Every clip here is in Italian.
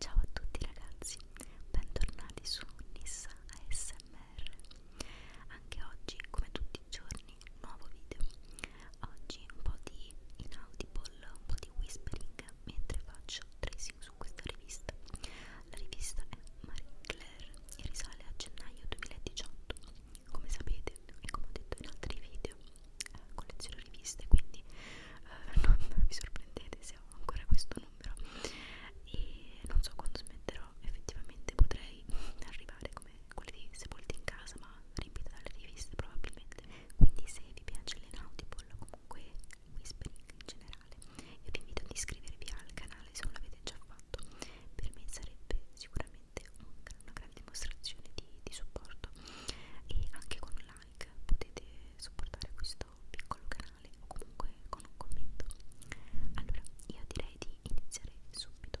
Ciao a tutti ragazzi, bentornati su Nissa ASMR. Anche oggi, come tutti i giorni, nuovo video oggi un po' di inaudible un po' di whispering mentre faccio tracing su questa rivista la rivista è Marie Claire e risale a gennaio 2018 come sapete e come ho detto in altri video eh, colleziono riviste quindi eh, non vi sorprendete se ho ancora questo numero e non so quando smetterò effettivamente potrei arrivare come quelle di Sepolti in casa ma riempite dalle riviste probabilmente quindi se vi piace l'Enautipol o comunque Whispering in generale io vi invito ad iscrivervi al canale se non l'avete già fatto per me sarebbe sicuramente un, una grande dimostrazione di, di supporto e anche con un like potete supportare questo piccolo canale o comunque con un commento allora io direi di iniziare subito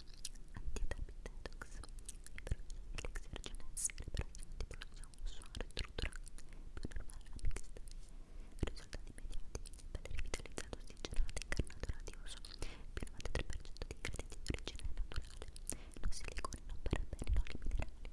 antidapitedox, l'ex-ergenese, l'ebraico, suono retrodurante, più normale la mixta, risultati mediati, pelle rivitalizzato, ossigenato, incarnato radioso, più 93% di ingredienti di origine naturale, non silicone, non parabeni, non minerali. Allora,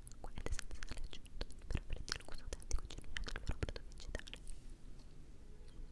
qualità senza sale aggiunto per offrirti il gusto autentico genuino del vero prodotto digitale. Ecco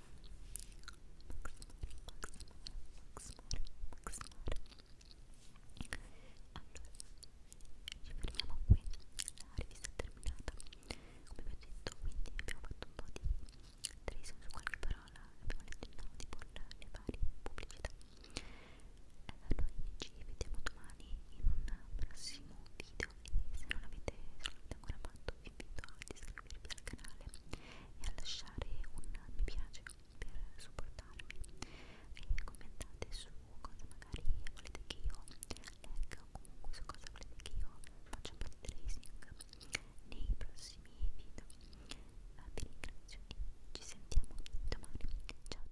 fermiamo qui, la rivista è terminata. Come vi ho detto, quindi abbiamo fatto un po' di tracing su qualche parola, abbiamo letto il nodi con le varie pubblicità. Eh, noi ci vediamo domani in un prossimo video e se non l'avete ancora fatto vi invito a iscrivervi iscrivervi al canale e a lasciare un mi piace per supportarmi e commentate su cosa magari volete che io legga o comunque su cosa volete che io faccia un po' di tracing nei prossimi video eh, vi ringrazio e ci sentiamo domani ciao ciao